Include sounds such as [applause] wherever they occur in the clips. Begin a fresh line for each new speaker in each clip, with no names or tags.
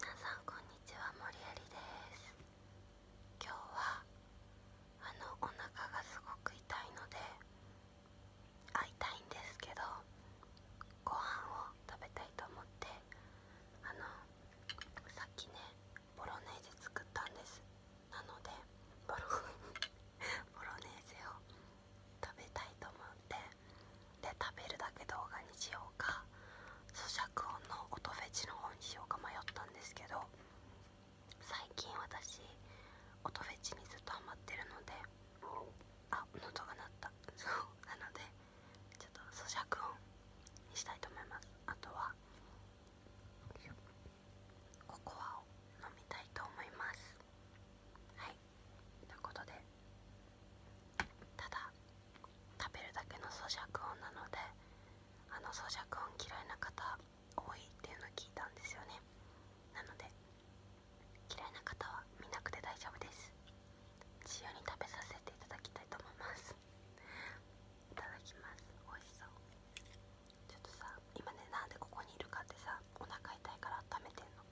皆さんこんにちは森えりです今日はあのお腹がすごく痛いので会いたいんですけどご飯を食べたいと思ってあのさっきねボロネーゼ作ったんですなのでボロ [laughs] ボロネーゼを食べたいと思ってで食べるだけ動画にしようか咀嚼音の音フェチの方にしようか迷ったんですけど最近私音フェチにずっとハマってるのであ喉が鳴ったそうなのでちょっと咀嚼音にしたいと思いますあとはココアを飲みたいと思いますはいということでただ食べるだけの咀嚼音なのであの咀嚼音嫌いな方多いっていうの聞いたんですよねなので嫌いな方は見なくて大丈夫です自由に食べさせていただきたいと思いますいただきます美味しそうちょっとさ今ねなんでここにいるかってさお腹痛いから温めてんの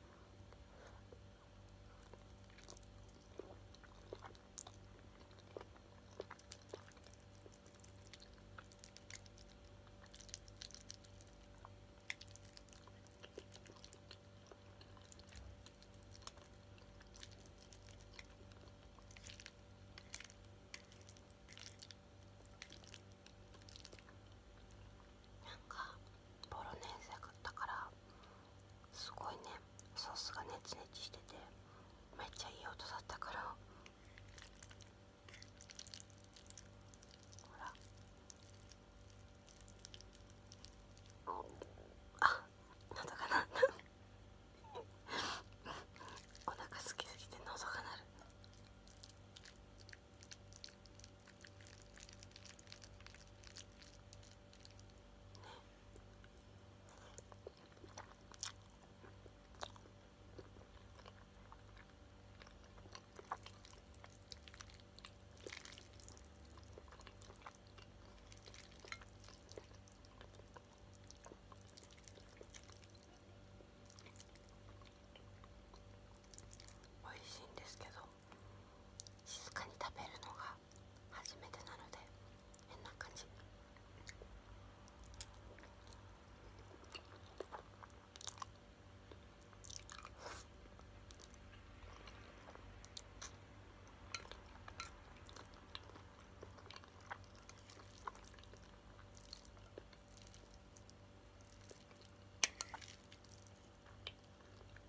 なんかボロネーゼ食ったからすごいねソースがねつねつしててめっちゃいい音だったからほらあ喉だかな。お腹すきすぎてのぞかなるね美味しいんですけど静かに食べるのが初めてなので変な感じ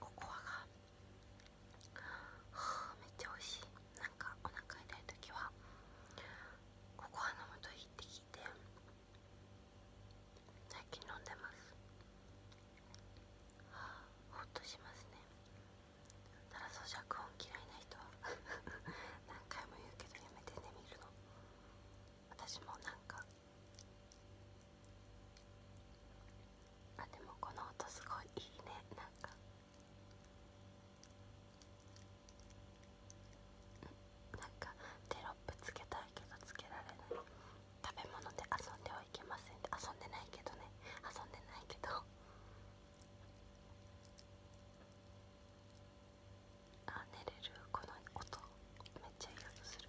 ココアがめっちゃ美味しいなんかお腹痛い時はココア飲むといいって聞いて最近飲んでますはあほっとしますねただ咀嚼音嫌いな人は何回も言うけどやめてね見るの私もなんかあでもこの音すごいいいねなんかなんかテロップつけたいけどつけられない食べ物で遊んではいけませんって遊んでないけどね遊んでないけど [laughs] あ寝れるこの音めっちゃいい音する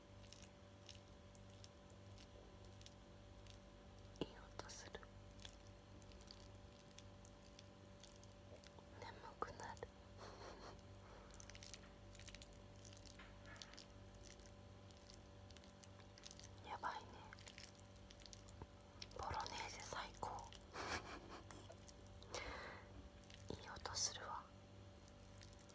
いい音する眠くなる [laughs] やばいねボロネーゼ最高 [laughs] いい音するわ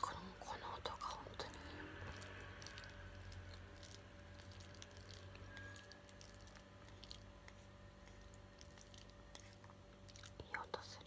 このこの音が本当にいい音する。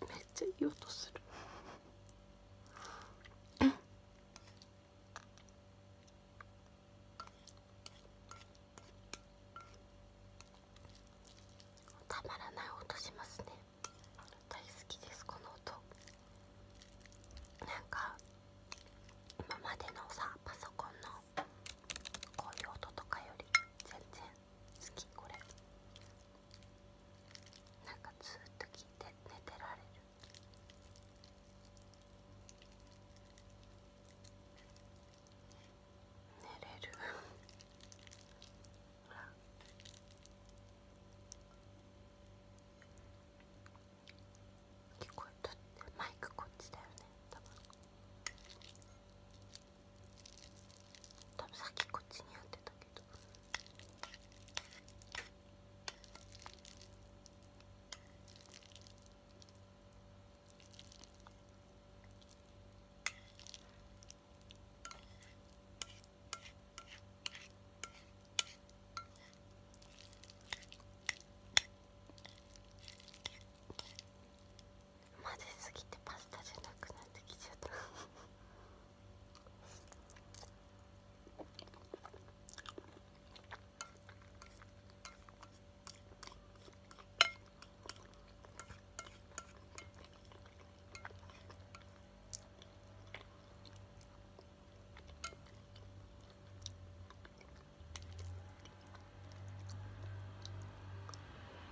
めっちゃいい音するたまらない音しますね大好きですこの音なんか今までのさパソコンのこういう音とかより全然好きこれなんかずっと聞いて寝てられる寝れるほら聞こえたってマイクこっちだよね多分多分さっきこっちにやってたけど混ぜすぎてパスタじゃなくなってきちゃった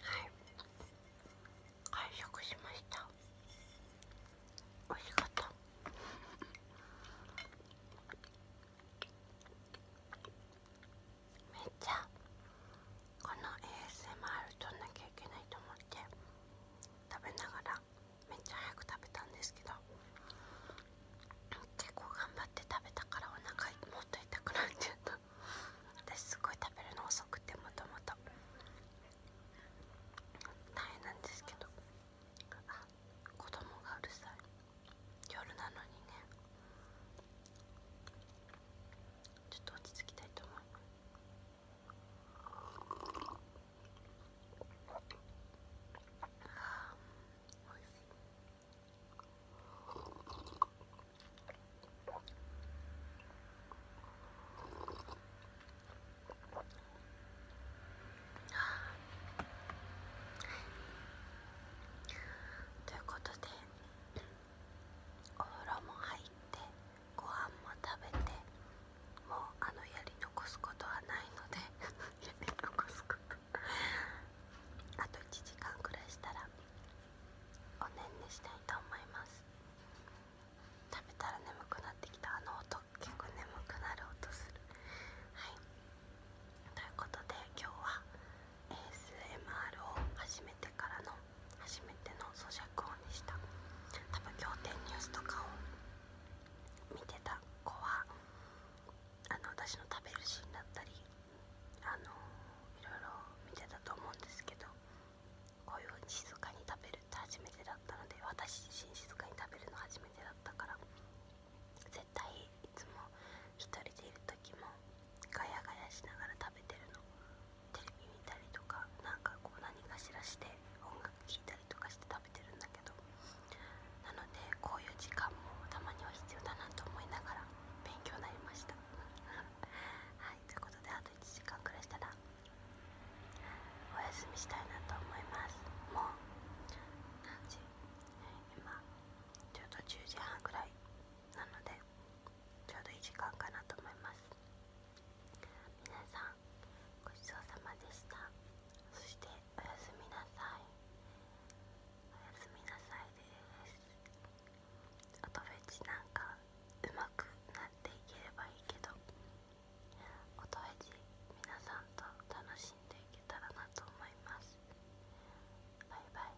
はい完食しましたおいしかっためっちゃこの ASMR 取んなきゃいけないと思って食べながらめっちゃ早く食べたんですけど結構頑張って食べたからお腹もっと痛くなっちゃった私すごい食べるの遅くてもともと大変なんですけどあ子供がうるさい夜なのにねちょっと落ち着きたいと思いますあい。しということでお風呂も入って。ご飯も食べてもうあのやり残すことはないので [laughs] やり残すことあと1時間くらいしたらおねんねしたいと思います食べたら眠くなってきたあの音結構眠くなる音するはいということで今日は ASMR を始めてからの初めての咀嚼音でした多分仰天ニュースとかを見てた子はあの私の食べるシーンだったりあのいろいろ見てたと思うんですけどこういう風に静かに食べるって初めてだったので私自身静かに食べるの初めてだったから絶対いつも1人でいる時もガヤガヤしながら食べてるのテレビ見たりとかなかこう何かしらして音楽聴いたりとかして食べてるんだけどなのでこういう時間もたまには必要だなと思いながら勉強になりました [laughs] はいということであと1時間くらいしたらお休みしたいなと思いますもう何時今ちょうど10時半くらいなのでちょうどいい時間かなと思います皆さんごちそうさまでしたそしておやすみなさいおやすみなさいです音フェなんかうまくなっていければいいけど音フェチ皆さんと楽しんでいけたらなと思いますバイバイ